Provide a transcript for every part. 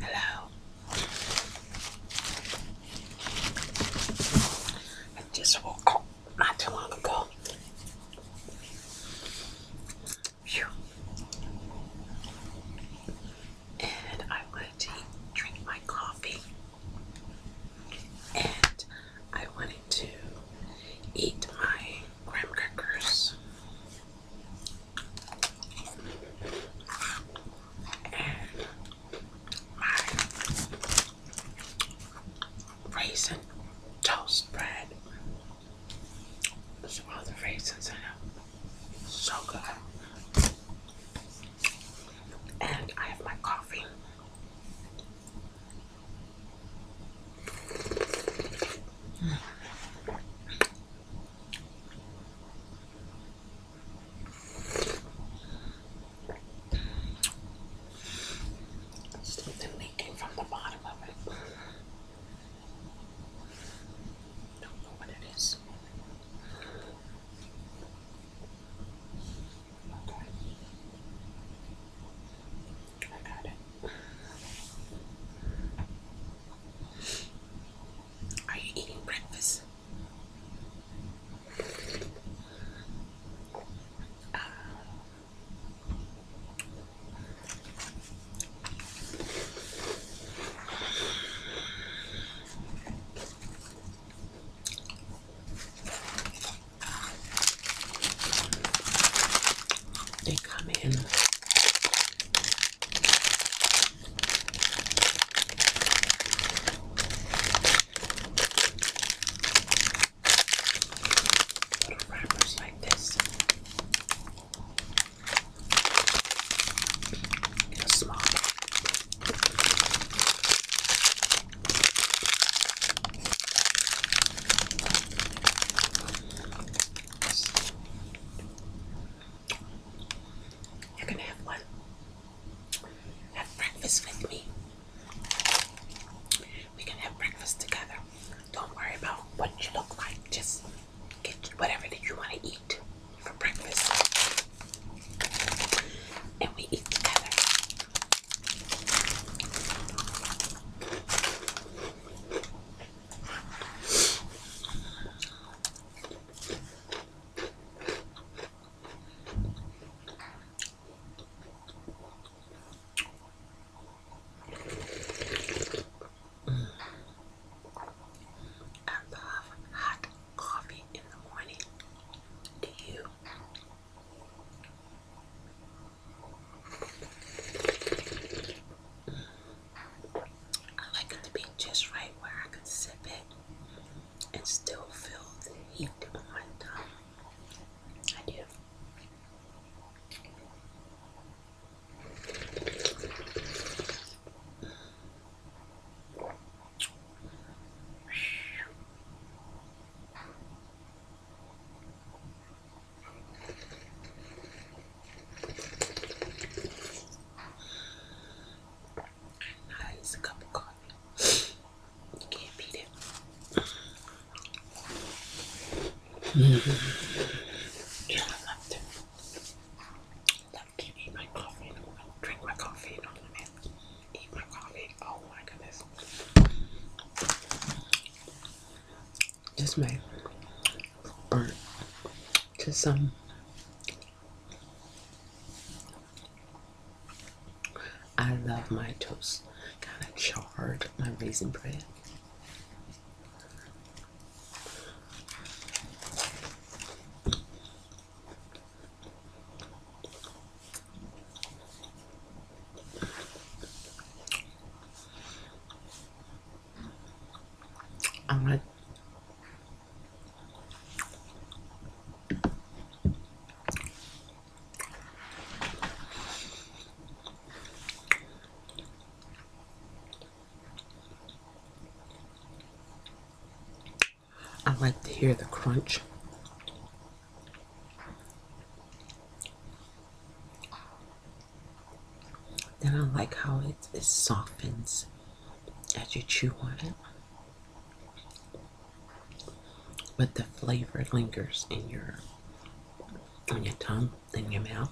Hello. I just woke up not too long ago. Phew. And I wanted to drink my coffee. And I wanted to eat my graham crackers raisin toast bread. There's all the raisins I have. So good. And I have my coffee. Something leaking from the bottom of it. Don't know what it is. Okay. I got it. Are you eating breakfast? Uh, they come in Little wrappers like this in a small you're gonna have one. Have breakfast with me. We can have breakfast together. Don't worry about what you look like. Just get whatever that you want to eat for breakfast. And we eat together. I love hot coffee in the morning. Do you? I like it to be just right where I could sip it and still feel the heat on my tongue. I do. Now cup of coffee. You can't beat it. Yeah, I love to. I can eat my coffee. I don't drink my coffee. You know what Eat my coffee. Oh my goodness. Just my burnt Just some I love my toast kind of charred, my raisin bread. I'm I like to hear the crunch. Then I like how it, it softens as you chew on it. But the flavor lingers in your on your tongue, in your mouth.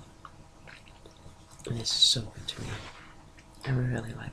And it's so good to me. I really like it.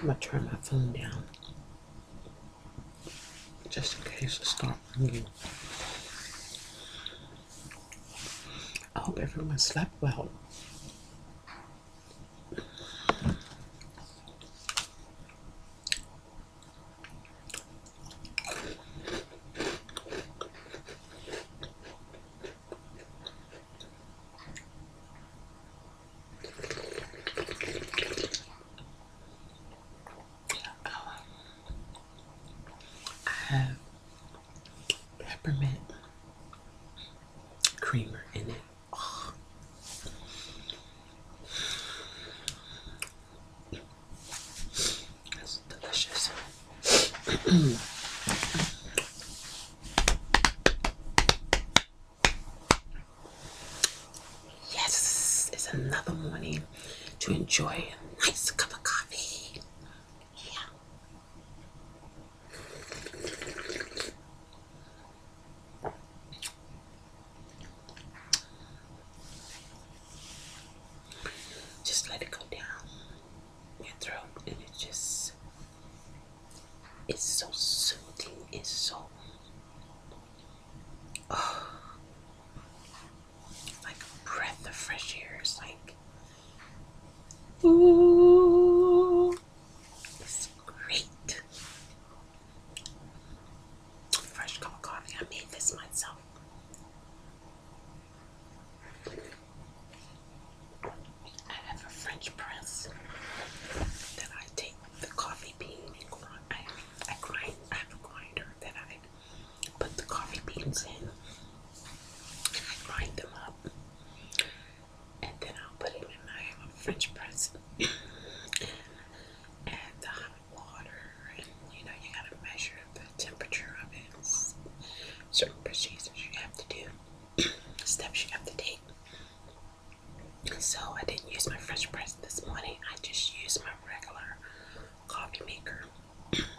I'm gonna turn my phone down just in case it starts ringing. I hope everyone slept well. Um, I have peppermint creamer in it. Oh. That's delicious. Yes, it's another morning to enjoy a nice cup of coffee. Yeah. Just let it go down your throat and it just it's so soothing. It's so oh, like a breath of fresh air. It's like ooh, it's great. Fresh cup of coffee. I made this myself. I have a French press that I take the coffee bean and I, grind. I have a grinder that I put the coffee beans in, and I grind them up, and then I'll put them in. my French press, and add the hot water, and you know you gotta measure the temperature of it. It's certain procedures you have to do, steps you have to take. So I didn't use my French press this morning. I just used my regular coffee maker. and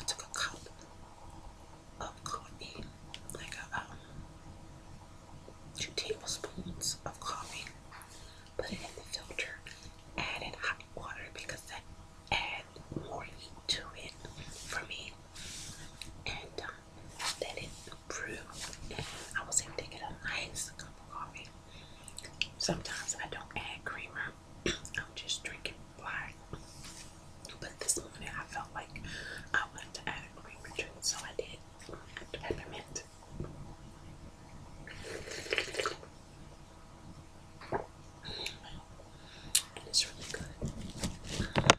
I took a cup of coffee, like um, two tablespoons of coffee, put it in the filter, added hot water because that adds more heat to it for me. And um, let it I was able to get a nice cup of coffee. Sometimes I don't add creamer. I'm just drinking black. But this morning I felt like I wanted to add a creamer drink, so I did. Peppermint. it's really good.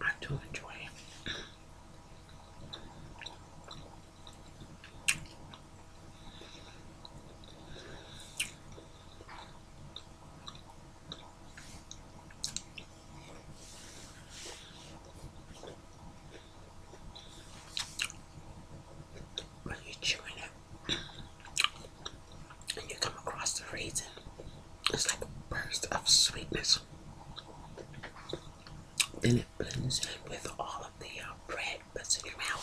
I do enjoy it. Are you chewing it? and you come across the raisin, it's like a burst of sweetness. Then it blends in with all of the uh, bread that's in your mouth.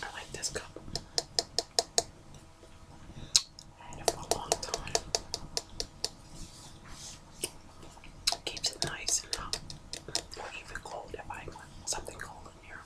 I like this cup. had it for a long time keeps it nice and hot, or even cold if I want something cold in here.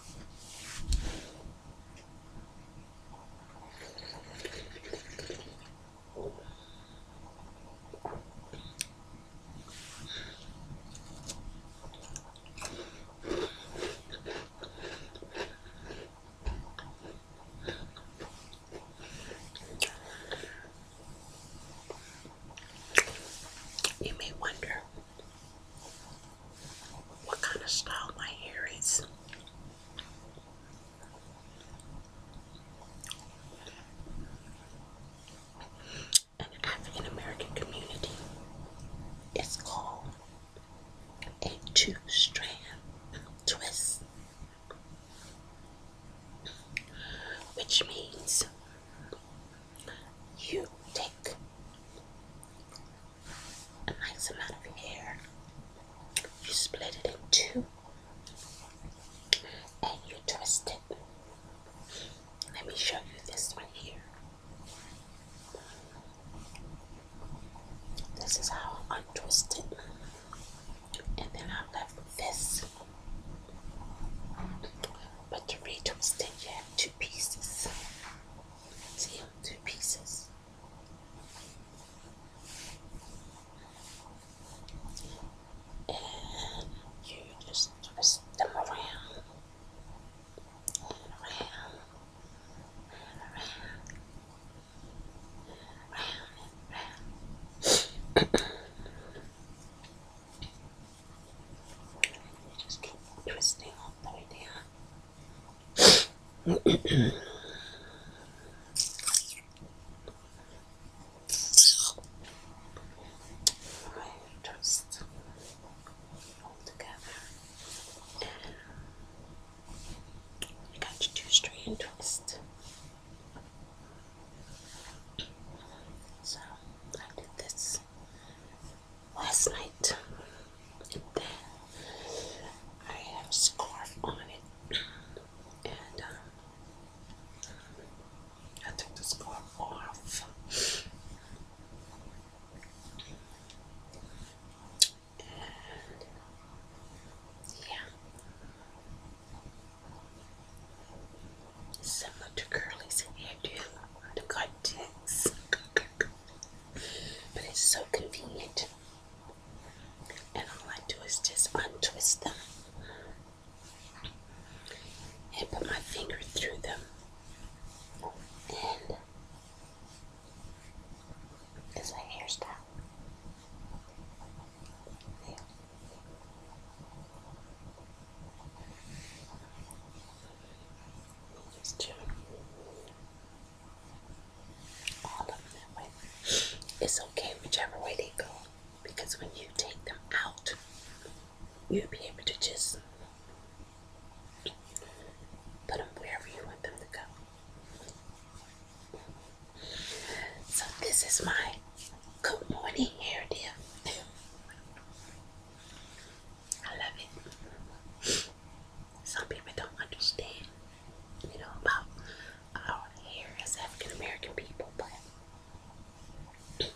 You may wonder what kind of style my hair is. An African American community is called a two strand twist, which means you take a nice amount of hair, you split it in two, and you twist it. Let me show you this one here. This is how I untwist it, and then I'm left with this. But the Doritos then you have two pieces. See, two pieces. And you just twist them around and around and around and around. Just keep twisting up the idea. Just all together, you got your two strand twist. So I did this last night. And I have a scarf on it, and um, I took the scarf off. yeah, Similar to Curly's hairdo the cuttings. but it's so convenient. And all I do is just untwist them and put my finger through them. And it's a hairstyle. It's okay whichever way they go because when you take them out, you'll be able to just put them wherever you want them to go. So this is my good morning hair dip. I love it. Some people don't understand, you know, about our hair as African American people, but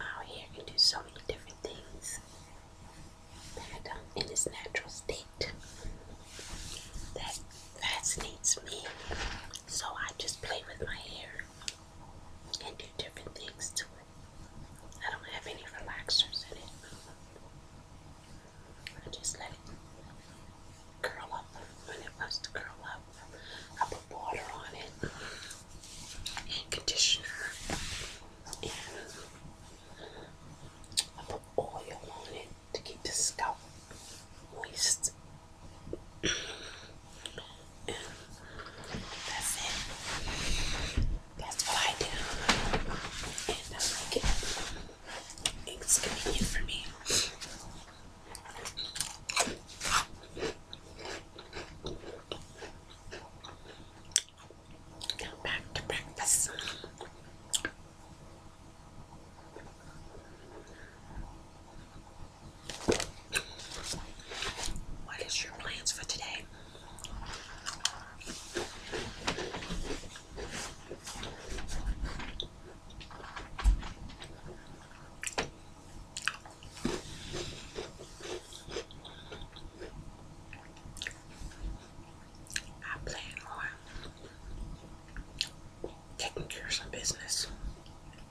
our hair can do so many different things um, in its natural state fascinates me. So I just play with my hair and do different things to it. I don't have any relaxers in it. I just let it curl up when it wants to curl up. I put water on it and conditioner and I put oil on it to keep the scalp moist. and that's it. That's what I do. And I like it. It's convenient for me. Now back to breakfast. What is your plans for today? I plan on taking care of some business.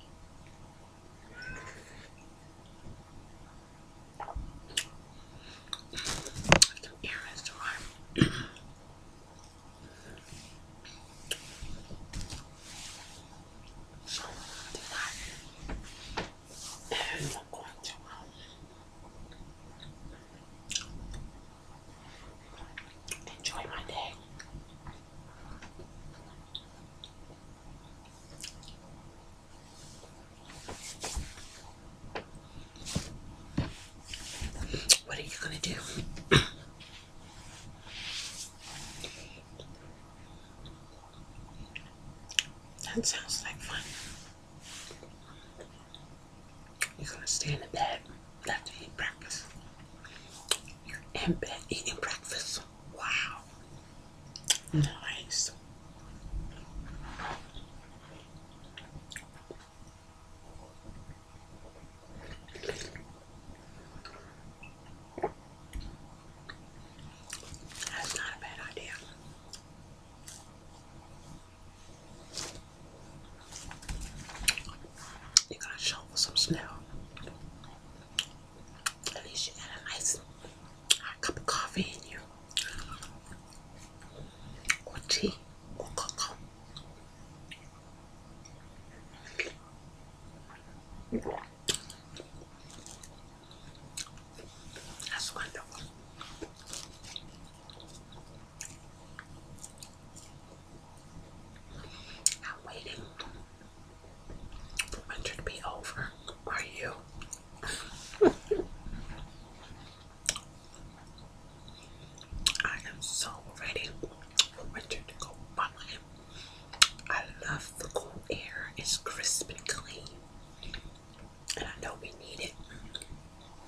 Enjoy my day. What are you going to do? that sounds like fun. You're gonna stay in the bed after you eat breakfast. You're in bed eating breakfast. Wow. Nice. That's not a bad idea. You gotta show some smell. At least you got a nice cup of coffee in you, or tea, or cocoa. That's wonderful. I'm waiting for winter to be over. Are you? I am so ready for winter to go by. I love the cool air. It's crisp and clean. And I know we need it.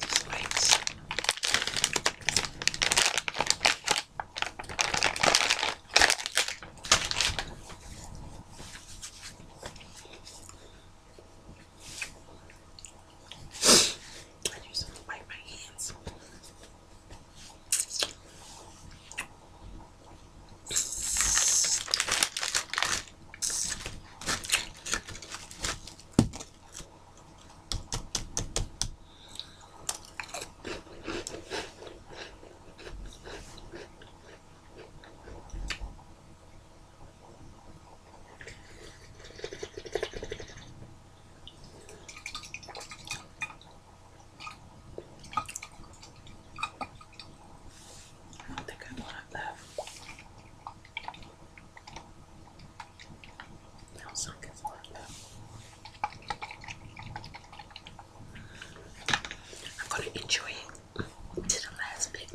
These lights. I use them to wipe my hands. I don't think I want it left. I'm gonna enjoy it to the last bit.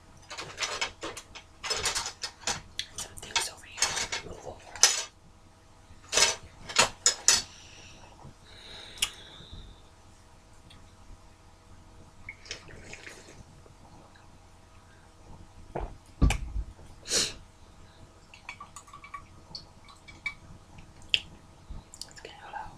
Some things over here. Move over. Let's get it out.